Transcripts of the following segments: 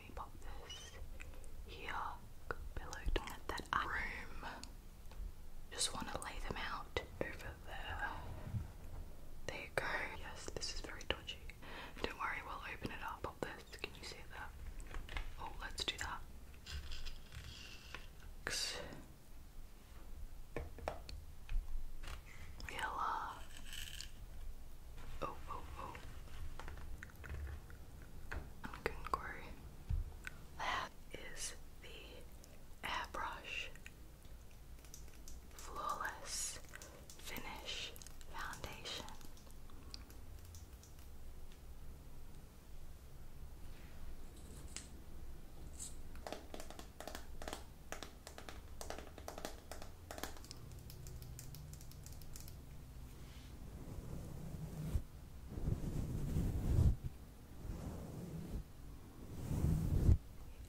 me pop this here below that room. Just want to lay them out over there. There you go. Yes, this is very dodgy. Don't worry, we'll open it up. Pop this. Can you see that? Oh, let's do that. Yellow. Oh, oh, oh. That is the airbrush flawless finish foundation.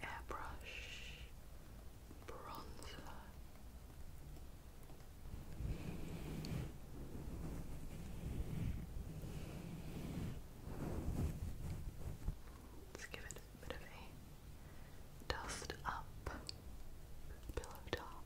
Airbrush bronzer. Let's give a bit of a dust up pillow top.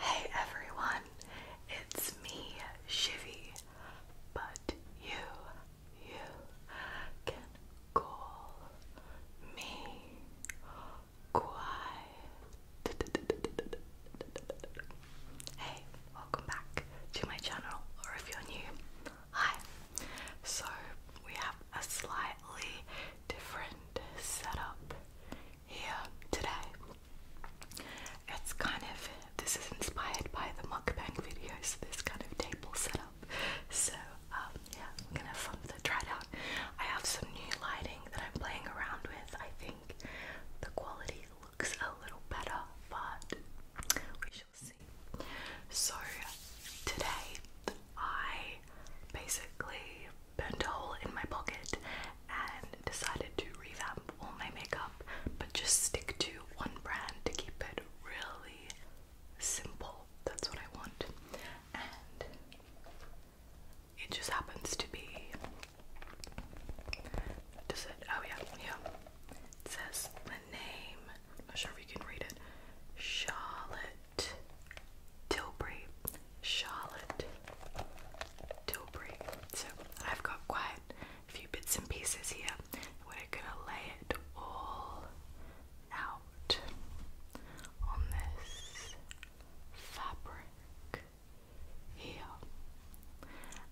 Hey everyone, it's me, Shivy, but you, you can call me Quiet. Hey, welcome back to my channel, or if you're new, hi. So, we have a slightly different setup here today. It's kind of this is inspired by the mukbang videos, this kind of table setup. So um, yeah, I'm gonna try it out. I have some new lighting that I'm playing around with. I think the quality looks a little better, but we shall see. So today I basically burned a hole in my pocket and decided to revamp all my makeup but just stick to one brand to keep it really simple. That's what I want. And it just happens to be. Does it? Oh, yeah, yeah. It says the name. I'm not sure if you can read it. Charlotte Tilbury, Charlotte Tilbury. So I've got quite a few bits and pieces here. We're gonna lay it all out on this fabric here,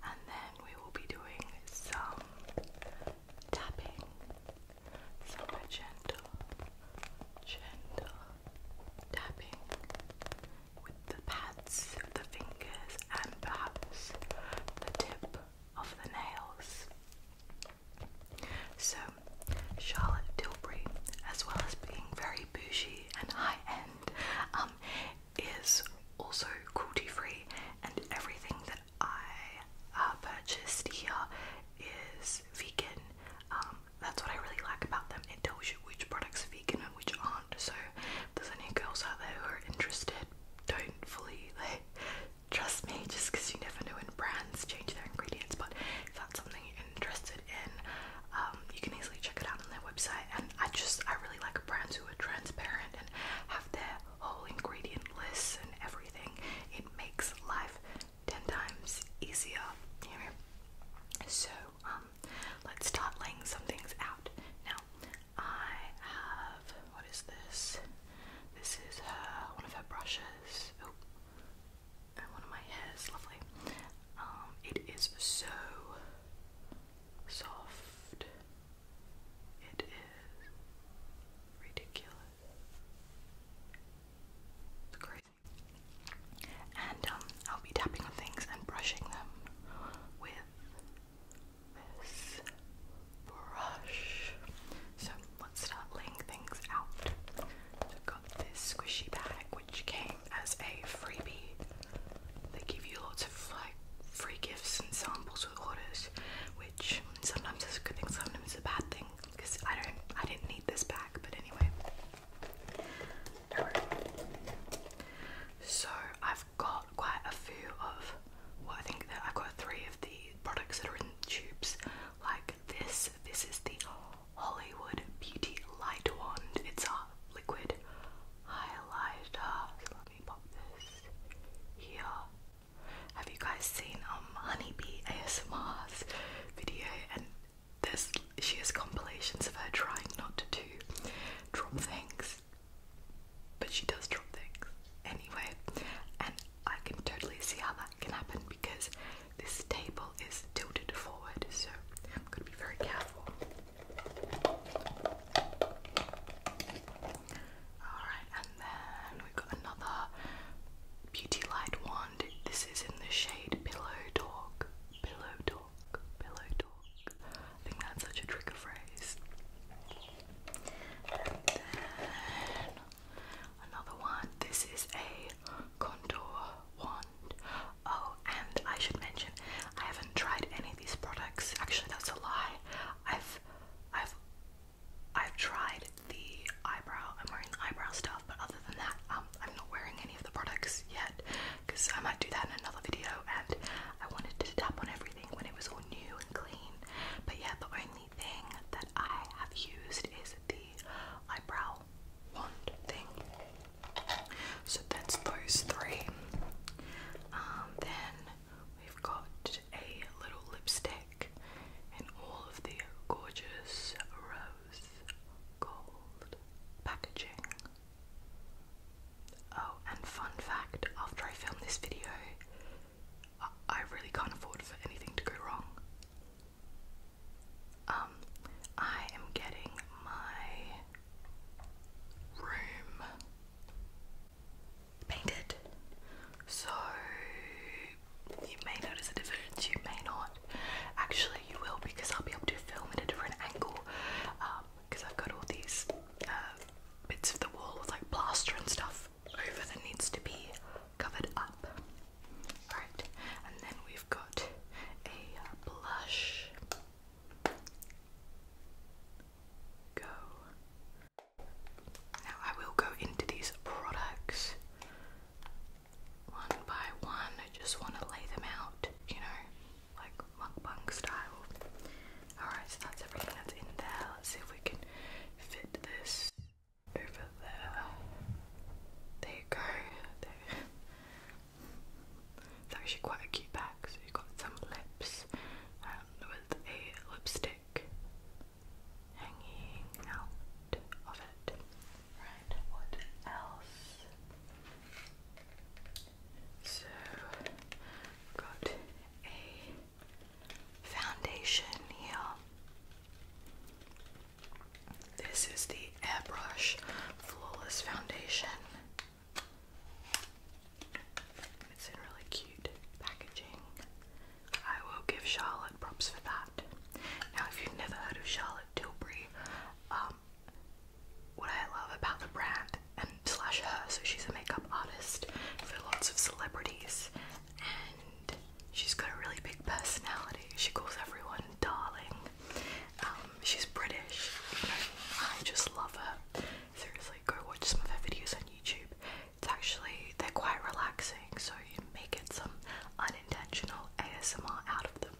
and then we will be doing some tapping super gentle, gentle tapping with the pads of the fingers and perhaps the tip of the nails. So, Charlotte Tilbury, as well as being very bougie and high end, um, is also cruelty free, and everything that I uh, purchased here is vegan. Um, that's what I really like about them. It tells you which products are vegan and which aren't. So if there's any girls out there who are interested, don't fully like trust me just because you never know when brands change their ingredients. But if that's something you're interested in, um, you can easily check it out on their website. And I just I really like brands who are transparent and have their whole ingredient lists and everything. It makes life ten times easier. So um, let's start laying some things out. Now I have what is this? This is one of her brushes. Oh, of my hairs. Lovely. Um, it is so soft. It is ridiculous. It's crazy. And um, I'll be tapping on things and brushing them with this brush. So let's start laying things out. I've got this squishy bag which came as a freebie. They give you lots of like free gifts and samples with orders, which sometimes is a good thing, sometimes it's a bad thing because I don't I didn't need this back, but anyway. So I've got quite a few of well I think I've got three of the products that are in tubes like this. This is the Hollywood Beauty Light Wand. It's a liquid highlighter. So let me pop this here. Have you guys seen um Honeybee ASMR's video, and there's she has compilations of her trying not to drop things, but she does drop things anyway. And I can totally see how that can happen because this table is tilted forward, so I'm gonna be very careful. Alright, and then we've got another Beauty Light Wand. This is in the shade Pillow Talk. Pillow Talk. Pillow Talk. I think that's such a trigger phrase. another one. This is a contour wand. Oh, and I should mention I haven't tried any of these products. Actually, that's a lie. I've I've I've tried the eyebrow. I'm wearing the eyebrow stuff, but other than that, um, I'm not wearing any of the products yet because I might do that in another video. And I wanted to tap on everything when it was all new and clean. But yeah, the only thing that I have used is the eyebrow wand thing. So that's those three. Um, then we've got a little lipstick in all of the gorgeous rose gold packaging. Oh, and fun fact after I filmed this video, I really can't afford for anything to go wrong. Um, I am getting my room painted. So you may notice a difference, you may not. Actually, you will because I'll be able to film at a different angle because um, I've got all these uh, bits of the wall with like plaster and stuff over that needs to be covered up. Alright, and then we've got a blush. Go. Now I will go into these products one by one. I just want to lay them out, you know, like mukbang style. Alright, so that's everything that's in there. Let's see if we can fit this over there. There you go. It's actually quite a cute bag. So you've got some lips um, with a lipstick hanging out of it. Right what else? So, got a foundation here. This is the Airbrush Flawless Foundation. It's in really cute packaging. I will give Charlotte props for that. Now, if you've never heard of Charlotte, Tilbury. Um, what I love about the brand and slash her, so she's a makeup artist for lots of celebrities, and she's got a really big personality. She calls everyone darling. Um, she's British. I just love her. Seriously, go watch some of her videos on YouTube. It's actually they're quite relaxing, so you may some unintentional ASMR out of them.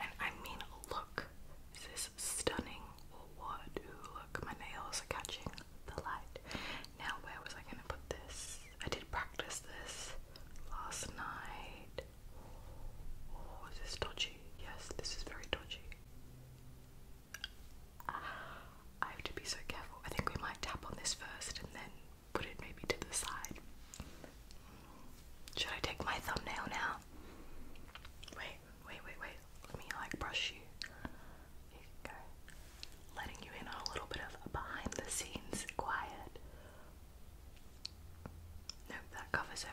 And I mean, look, this stunning what? look, my nails are catching the light. Now, where was I going to put this? I did practice this last night. Oh, is this dodgy? Yes, this is very dodgy. Ah, I have to be so careful. I think we might tap on this first and then put it maybe to the side. Should I take my thumbnail now? Wait, wait, wait, wait. Let me like brush you. Here Letting you in on a little bit of behind the scenes quiet. Nope, that covers everything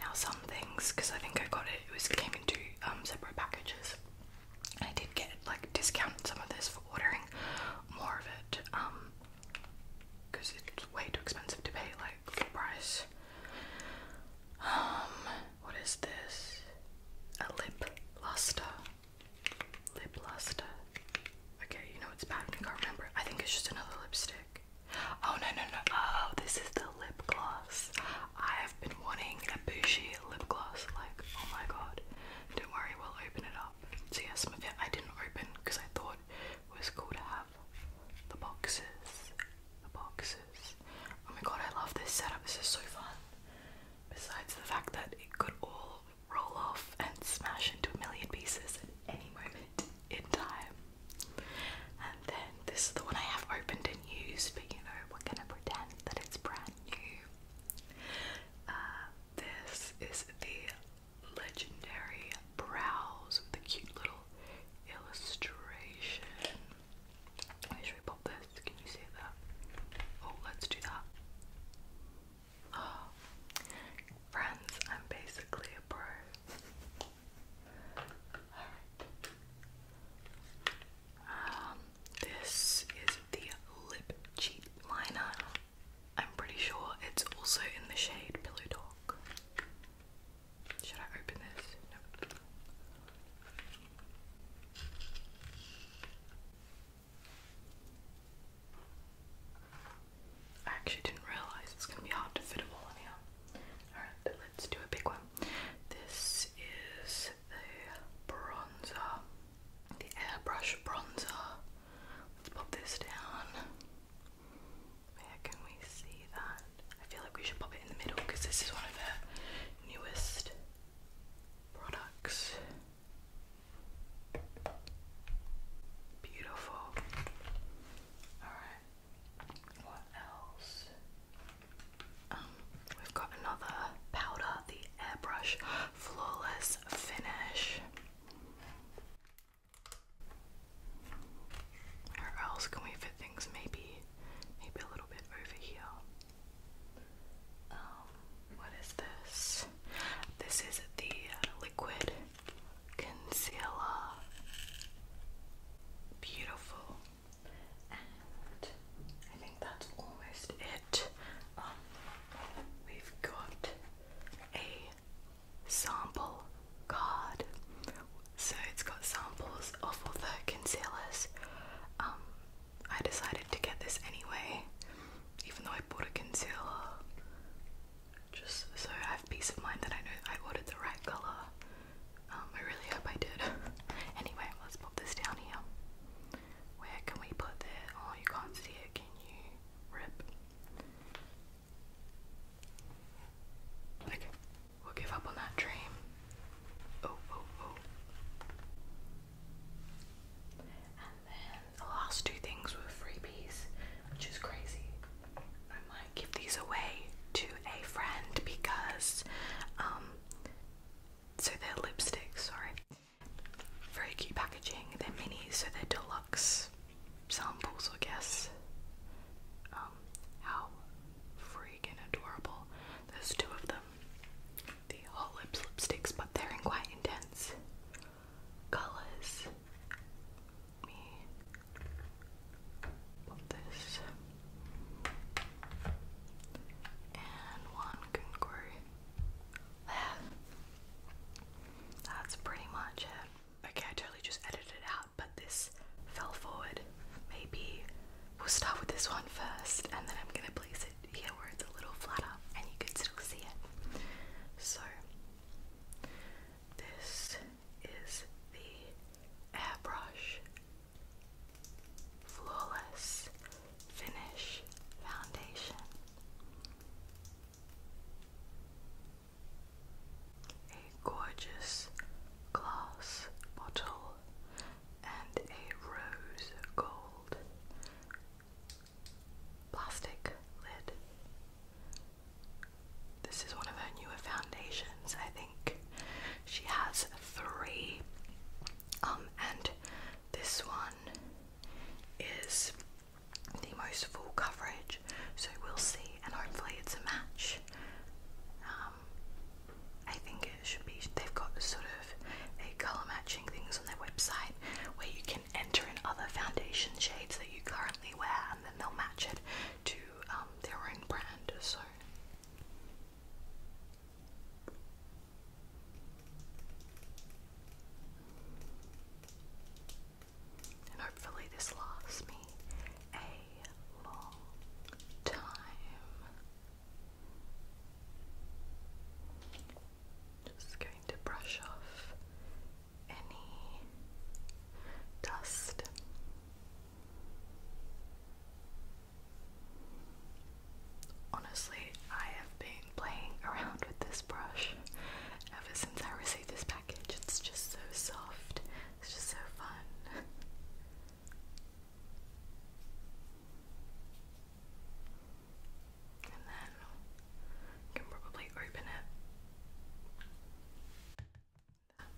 now some things, because I think I got it, it was came in two um, separate packages. I did get like discount some of this for ordering more of it, um, because it's way too expensive to pay like full price. Um, what is this? A lip luster. Lip luster. Okay, you know it's bad. I can't remember. I think it's just another lipstick. Oh no no no! Oh, this is the lip gloss. I've been wanting a bushy lip gloss. Like, oh my god! Don't worry, we'll open it up. See, yeah, some of it I didn't open because I thought it was cool to have the boxes. The boxes. Oh my god, I love this setup. This is so fun. Besides the fact that it could all roll off and smash into a million pieces at any moment in time. And then this is the one I have opened and used, but you know, we're gonna pretend that it's brand new. Uh, this is the legendary brows with the cute little illustration. should we pop this? Can you see that? Oh, let's do that. Friends, I'm basically a pro. Um, this is the Lip Cheat Liner. I'm pretty sure it's also in the shade Pillow Talk. Should I open this? I actually didn't realise it's going to be hard to fit it all in here. Alright, let's do a big one. This is the bronzer, the airbrush bronzer. Let's pop this down. Where can we see that? I feel like we should pop it in the middle because this is one of her newest products. Beautiful. Alright. What else? Um, we've got another powder, the airbrush flawless finish. Where else can we fit things? Maybe, maybe a little bit over here. Um, what is this? This is the liquid concealer. Beautiful. And I think that's almost it. Um, we've got a sample card. So it's got samples of all the concealers. Um, I decided to get this anyway, even though I bought a concealer. Just so I have peace of mind that I know I ordered the right colour. Um, I really hope I did. anyway, let's pop this down here. Where can we put that? Oh, you can't see it, can you? Rip. Okay, we'll give up on that dream. Oh, oh, oh. And then the last two things were freebies, which is crazy. I might give these away to a friend because um so they're lipsticks, sorry. Very cute packaging. They're mini, so they're deluxe samples, I guess. Um, how freaking adorable. There's two of them. The whole lips lipsticks, but they're in quite intense colours me this and one kangaroo there. That's pretty much it. Okay, I totally just edited out, but this fell forward. Maybe we'll start with this one first, and then I'm gonna place it here where it's a little flatter and you can still see it. So, this is the Airbrush Flawless Finish Foundation. A gorgeous glass bottle and a rose gold plastic lid. This is one of her newer foundations. I think she has three. Um, and this one is the most full coverage, so we'll see, and hopefully it's a match. Um, I think it should be. They've got sort of a color matching things on their website where you can enter in other foundation shades that you currently wear, and then they'll match it to um, their own brand. So. And hopefully, this lasts me a long time. Just going to brush off any dust. Honestly, I have been playing around with this brush ever since I received this package. It's just so soft, it's just so fun. and then you can probably open it.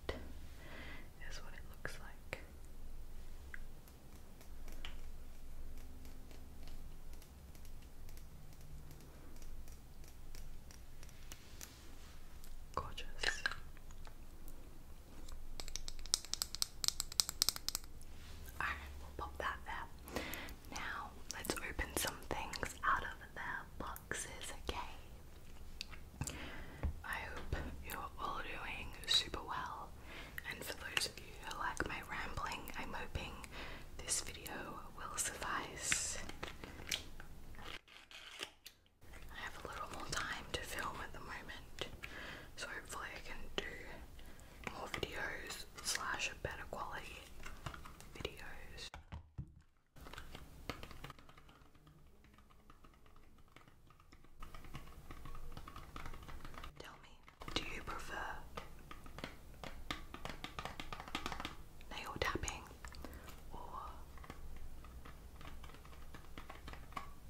That is what it looks like. Gorgeous. Alright, we'll pop that there. Now, let's open some things out of their boxes, okay? I hope you're all doing super well. And for those of you who like my rambling, I'm hoping this video will suffice. I have a little more time to film at the moment, so hopefully I can do more videos slash better quality videos. Tell me, do you prefer nail tapping or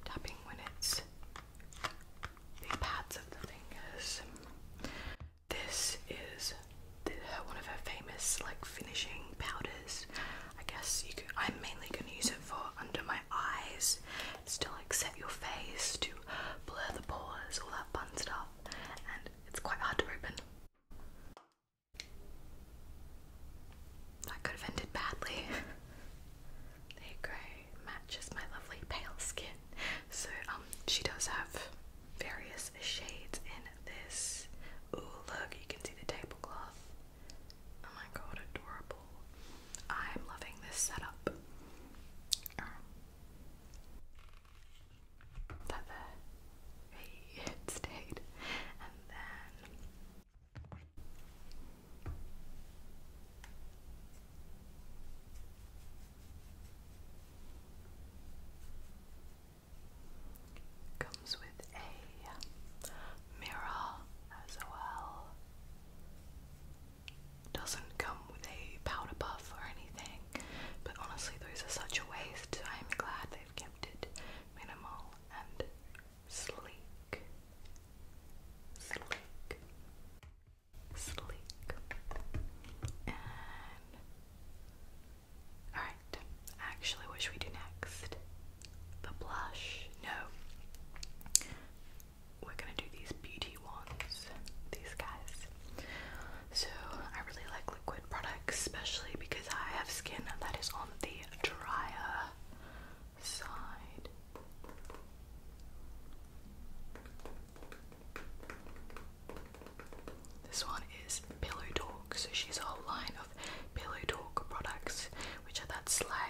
tapping when it's the pads of the fingers? This is one of her famous like finishing powders. I guess I'm mainly going to use it for under my eyes, still, to like set your face, to blur the pores, all that fun stuff, and it's quite hard to open. That could have ended badly. there you go, matches my lovely pale skin. So um, she does have various shades in this. Ooh, look, you can see the tablecloth. Oh my god, adorable. I'm loving this setup. Um, that there. it stayed. And then comes with a mirror as well. Doesn't come with a powder puff or anything, but honestly, those are such a waste. I'm glad they've kept it minimal and sleek. Sleek. Sleek. And. Alright, actually, what should we do next? the blush. No. We're gonna do these beauty ones, these guys. So I really like liquid products, especially because I have skin that is on the drier side. This one is Pillow Talk, so she's a whole line of Pillow Talk products, which are that slimy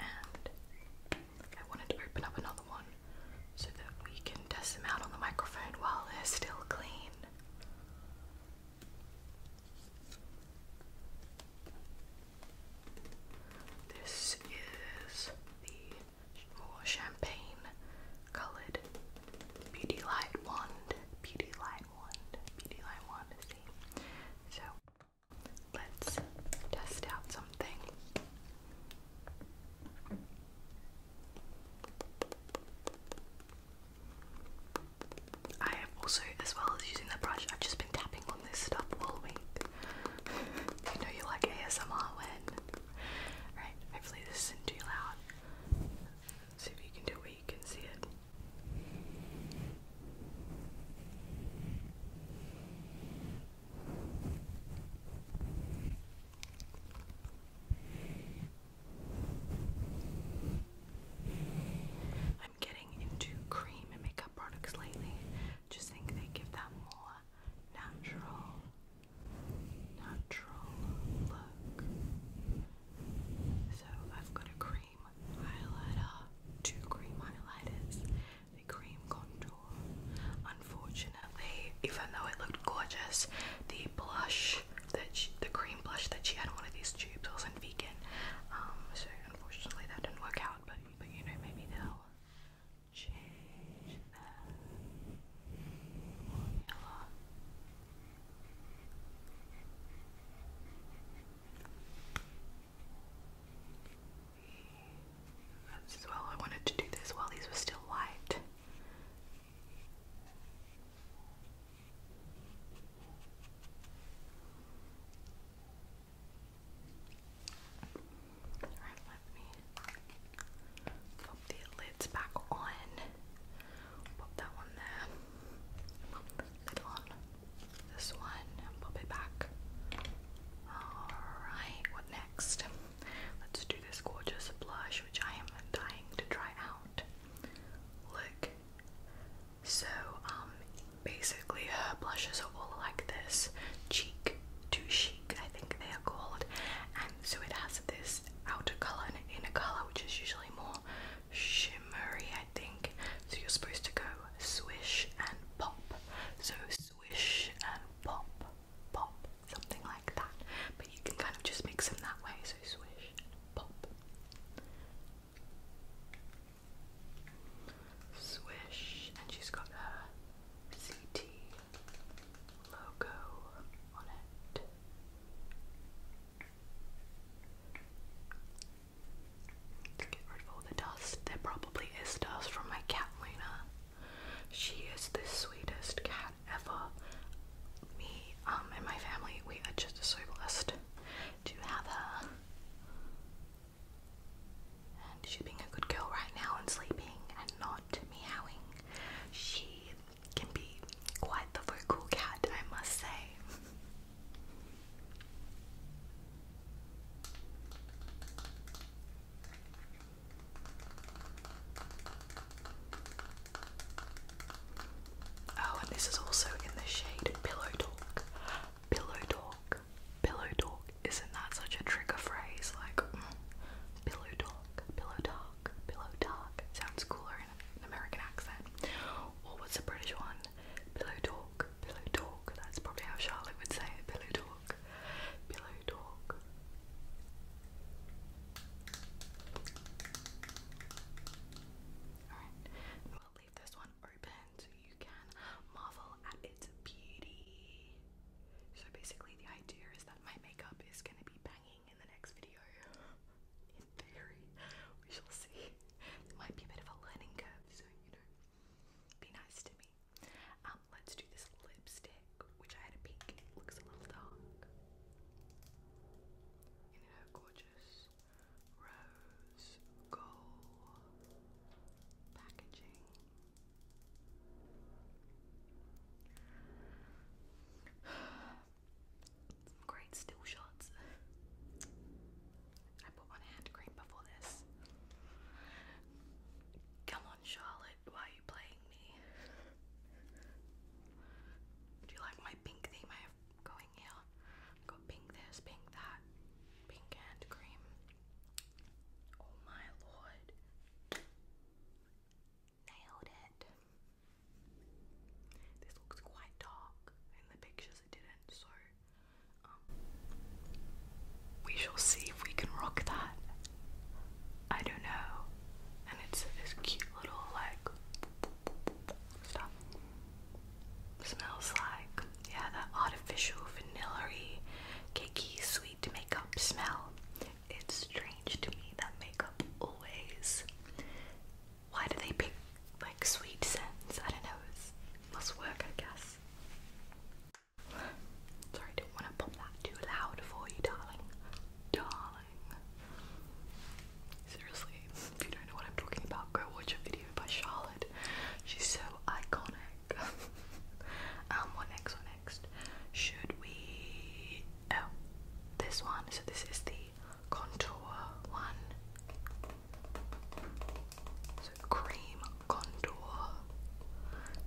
I wanted to open up another one so that we can test them out on the microphone while they're still clean. This is the more champagne coloured beauty light wand. Beauty light wand. Beauty light wand. See? So Let's test out something. I have also, as well as using the brush, I've just been tapping on this stuff all week. you know you like ASMR when. Right, hopefully this isn't too loud. see if you can do it you can see it. I'm getting into cream and makeup products lately. Just think they give that more natural, natural look. So I've got a cream highlighter, two cream highlighters, the cream contour. Unfortunately, even though it looked gorgeous, the blush that she, the cream blush that she had in one of these tubes wasn't vegan. Um, so unfortunately, that didn't work out. But but you know, maybe they'll change their formula. As well, I wanted to do this while these were still white. Alright, let me pop the lids back on. Pop that one there. lid on this one and pop it back. Alright, what next? Let's do this gorgeous blush which I am dying to try out. Look. So, um, basically her blushes are all like this. Cheek to cheek. I think they are called. And so it has this outer colour and inner colour which is usually more shimmery, I think. So you're supposed to go swish and pop. So swish and pop, pop, something like that. But you can kind of just mix them that way, so swish pop. Swish, and she's got her CT logo on it. Get rid of all the dust. There probably is dust from my cat Lena. She is the sweetest cat ever. Me, um, and my family, we are just so blessed to have her. And she's being a good girl right now and sleeping and not meowing. She can be quite the vocal cat, I must say. Oh, and this is also in the shade Pillow Talk. Pillow Talk. Pillow Talk. Isn't that such a trigger phrase? Like, mm, Pillow Talk. Pillow Talk. Pillow Talk. Sounds cooler in an American accent. Or what's the British one? Pillow Talk. Pillow Talk. That's probably how Charlotte would say it. Pillow Talk talk, talk. Alright, we'll leave this one open so you can marvel at its beauty. So basically the idea is that my makeup is gonna be banging in the next video. In theory, we shall see. There might be a bit of a learning curve, so you know, be nice to me. Um, let's do this lipstick, which I had a peek. It looks a little dark. In her gorgeous rose gold packaging. Some great still shots put hand cream before this. Come on, Charlotte, why are you playing me? Do you like my pink theme I have going here? i pink this, pink that, pink hand cream. Oh my lord. Nailed it. This looks quite dark. In the pictures it didn't, so um, we shall see if we can rock that. I don't know. And it's this cute little like stuff. Smells like yeah, that artificial vanilla cakey, sweet makeup smell. It's strange to me that makeup always. Why do they pick like sweet scents? I don't know. must work, I guess. Sorry, I not want to pop that too loud for you, darling. Darling. Seriously, if you don't know what I'm talking about, go watch a video by Charlotte. She's so iconic. um, what next? What next? Should we. Oh, this one. So, this is the contour one cream contour.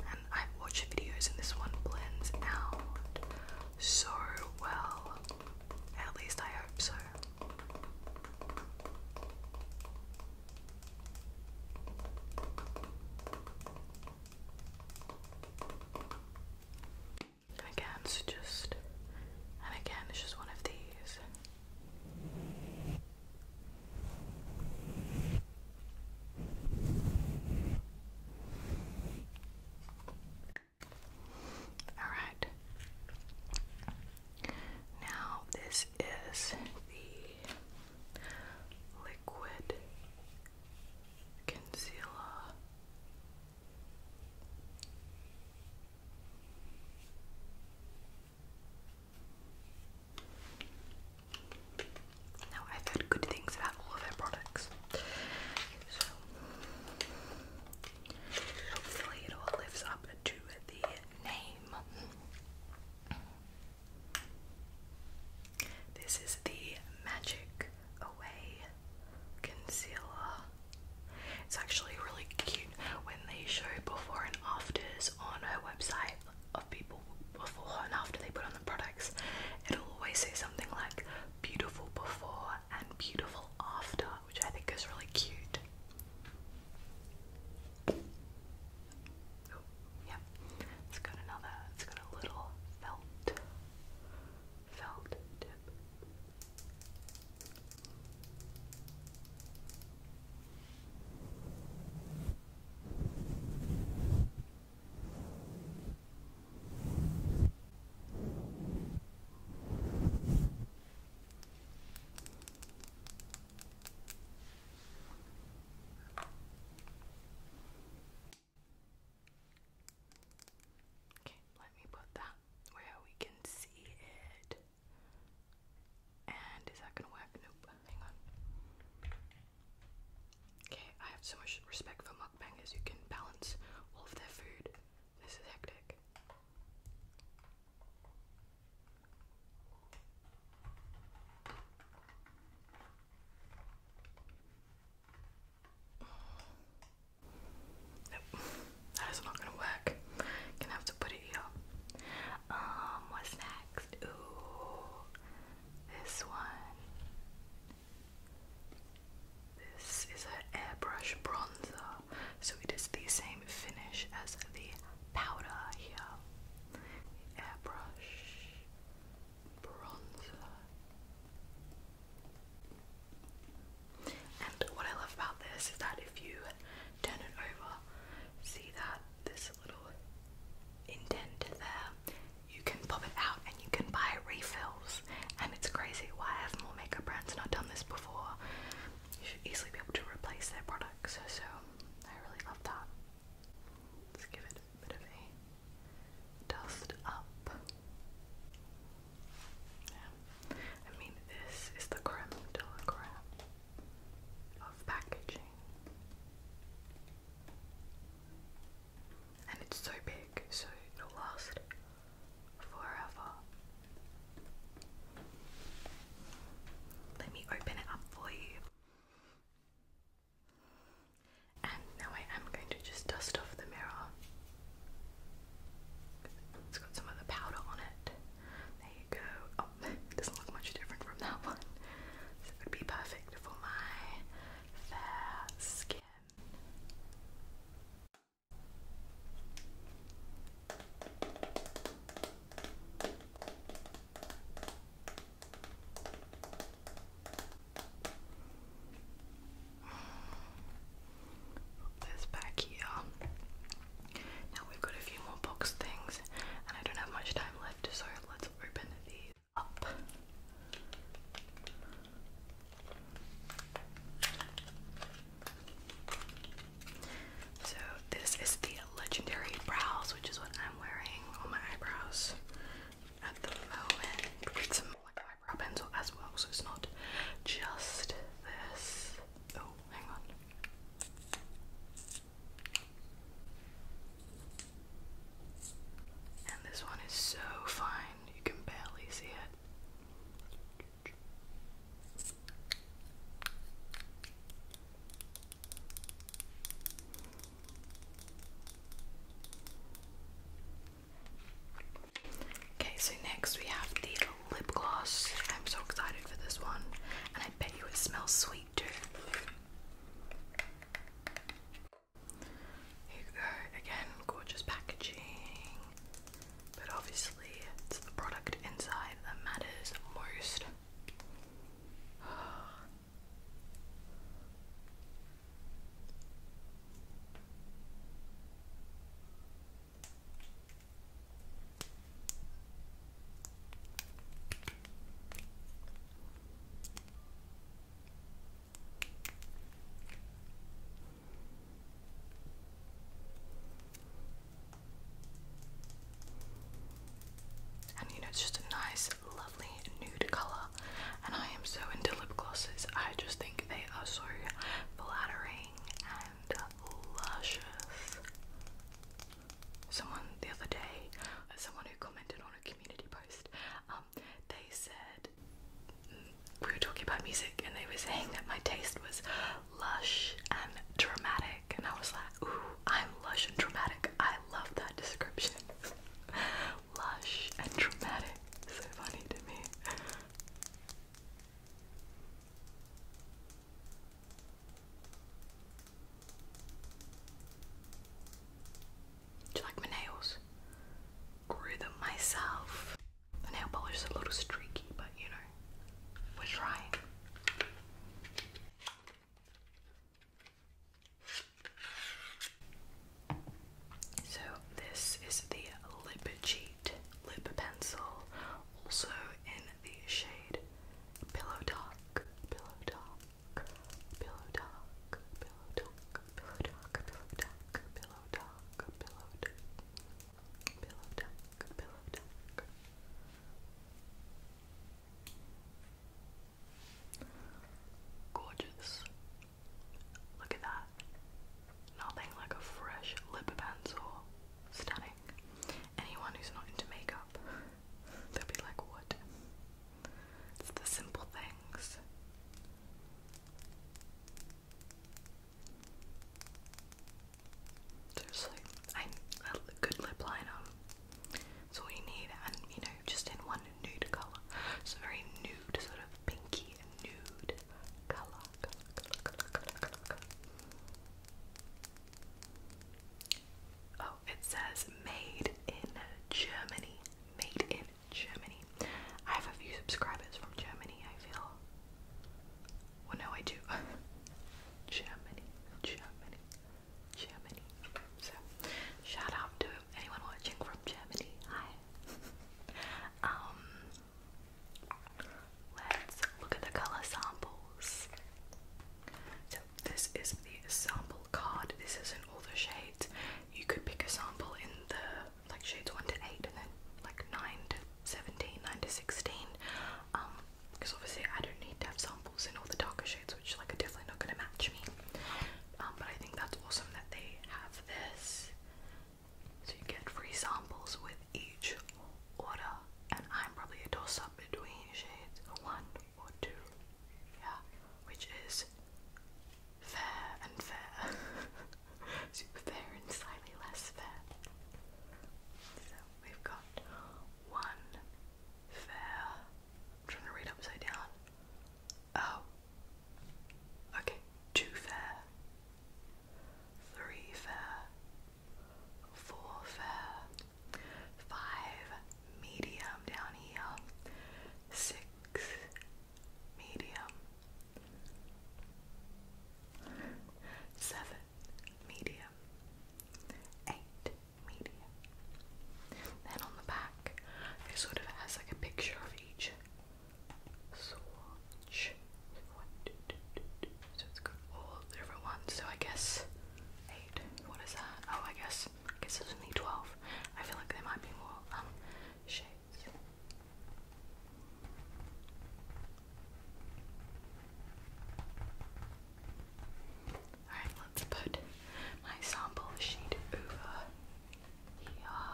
And I've watched videos and this one blends out so well. At least I hope so. And again, it's just, and again, it's just one of these. All right. Now, this is the liquid concealer. Now I've heard good things about all of their products. So hopefully it all lives up to the name. This is the Magic Away Concealer. It's actually really cute when they show before and afters on her website of people before and after they put on the products, it'll always say something like beautiful before and beautiful after, which I think is really cute. Oh, It's got another, it's got a little felt, felt tip. Okay, let me put that where we can see it. And is that gonna work? Nope. Hang on. Okay, I have so much respect for mukbangers who can balance all of their food. This is hectic. Nope, that is not gonna work. Gonna have to put it here. Um, what's next? This one. This is an airbrush bronzer, so it is the same finish as the powder here. Airbrush bronzer. And what I love about this is that if you turn it over, see that this little indent there. You can pop it out and you can buy refills. And it's crazy why have more makeup brands not done this before. You should easily be able to replace their products. So I really love that. Let's give it a bit of a dust up. I mean, this is the creme de la creme of packaging. And it's so big, so it'll last forever. Let me open it up for you. And now I am going to just dust off the mirror. It's got some of the powder on it. There you go. Oh, doesn't look much different from that one. it would be perfect for my fair skin. this back here. Now we've got a few more box things, and I don't have much time left, so let's open these. So this is the legendary brows, which is what I'm wearing on my eyebrows at the moment. It's some like eyebrow pencil as well, so it's not just this. Oh, hang on. And this one is so fine, you can barely see it. Okay, so next we have the lip gloss. I'm so excited for this one, and I bet you it smells sweet too. Here you go, again, gorgeous packaging. But obviously, it's the product inside that matters most. And you know, it's just a nice, lovely nude colour. And I am so into lip glosses. I just think they are so flattering and luscious. Someone the other day, someone who commented on a community post um, they said we were talking about music, and they were saying that my taste was lush and dramatic, and I was like, "Ooh, I'm lush and dramatic. I love that description. lush and dramatic. So funny to me." Do you like my nails? Grew them myself. The nail polish is a little streaky, but you know, we're trying. So this is the Lip Cheat lip pencil, also in the shade Pillow Talk. Pillow Talk pillow talk, pillow talk, pillow talk, pillow talk, pillow talk, pillow talk, pillow talk, pillow talk. Gorgeous. Look at that. Nothing like a fresh lip pencil. Stunning. Anyone who's not into makeup, they'll be like, what? It's the simple things. Seriously, I a good lip liner. That's all you need, and you know, just in one nude color. It's a very nude, sort of pinky nude color. Oh, it says made in Germany. Made in Germany. I have a few subscribers from Germany, I feel. Well, no, I do. Germany, Germany, Germany. So, shout out to anyone watching from Germany. Hi. um, let's look at the color samples. So, this is the sample card. This isn't all the shades. You could pick a sample in the like shades one to eight, and then like nine to 17, 9 to 16. Um, because obviously I don't need to have samples in all the darker shades, which like are definitely not going to match me. Um, but I think that's awesome that they have this. So you get free samples with each order, and I'm probably a toss up between shades one or two yeah, which is fair and fair, super fair and slightly less fair. So we've got one fair. I'm trying to read upside down. Oh, okay, two fair, three fair, four fair. Five medium down here, six medium, seven, medium, eight, medium. Then on the back, it sort of has like a picture of each So it's got all the different ones. So I guess eight. What is that? Oh, I guess I guess there's only twelve. I feel like there might be more um Alright, let's put my sample sheet over here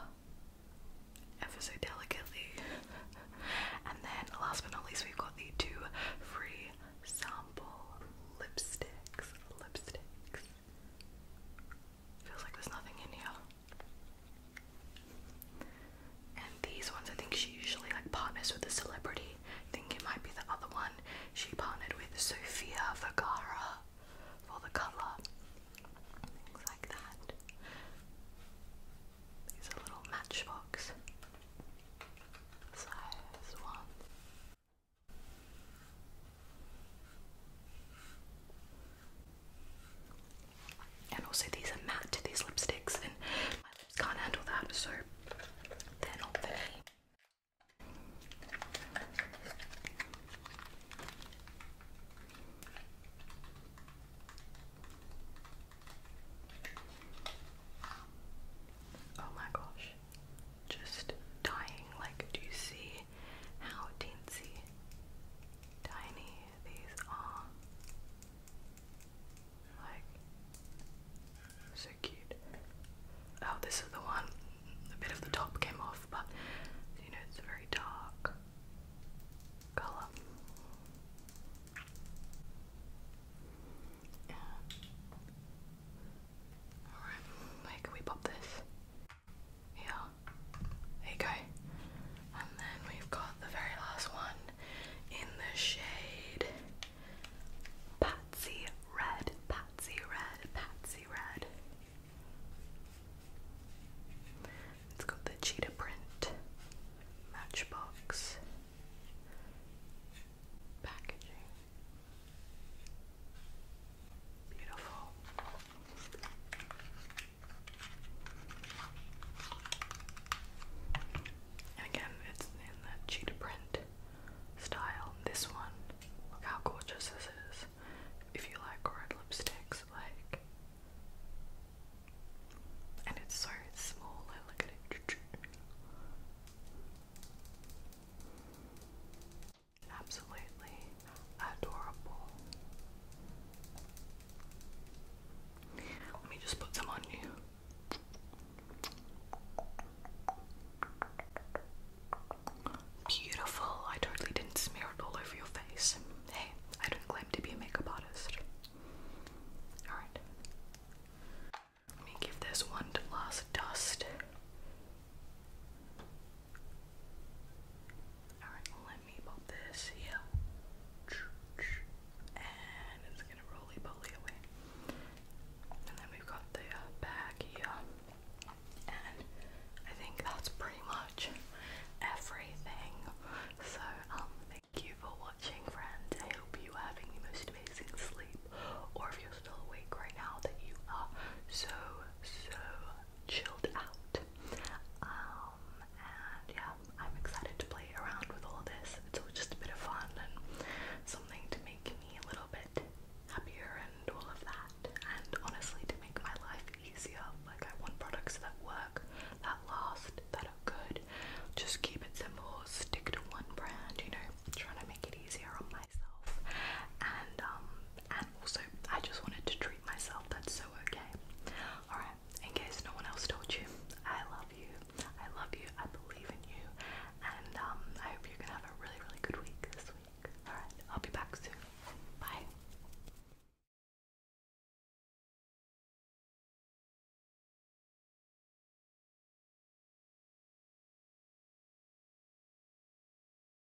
ever so delicately. and then last but not least we've got the two free sample lipsticks. Lipsticks. Feels like there's nothing in here. And these ones, I think she usually like partners with a celebrity. I think it might be the other one. She partnered with Sofia Vergara for the colour. Things like that. These are little matchbox size ones. And also these are matte, these lipsticks, and I just can't handle that, so they're not for me. Oh my gosh. Just dying. Like, do you see see how teensy tiny these are. Like, so cute. Oh, this is the one, a bit of the top came off, but you know, it's a very dark colour. Alright, can we pop this? Yeah, there you go. And then we've got the very last one in the shade Patsy Red, Patsy Red, Patsy Red. It's got the cheetah print matchbox packaging again, it's in the cheetah print style. This one, look how gorgeous this is. If you like red lipsticks, like, and it's so small. I look at it absolutely adorable. Let me just put some on you. Beautiful. I totally didn't smear it all over your face. Hey, I don't claim to be a makeup artist. Alright. Let me give this one last dust. Alright, let me pop this here. And it's gonna roly poly away. And then we've got the uh, bag here. And I think that's pretty much everything. So, um, thank you for watching, friends. I hope you are having the most amazing sleep. Or if you're still awake right now, that you are so, so chilled out. Um, and yeah, I'm excited to play around with all this. It's just a bit of fun and something to make me a little bit happier and all of that. And honestly, to make my life easier. Like, I want products that work, that last, that are good. Just keep it simple, stick to one brand, you know, trying to make it easier on myself. And, um, and also I just wanted to treat myself, that's so okay. Alright, in case no one else told you, I love you, I love you, I believe in you, and um, I hope you're gonna have a really, really good week this week. Alright, I'll be back soon. Bye.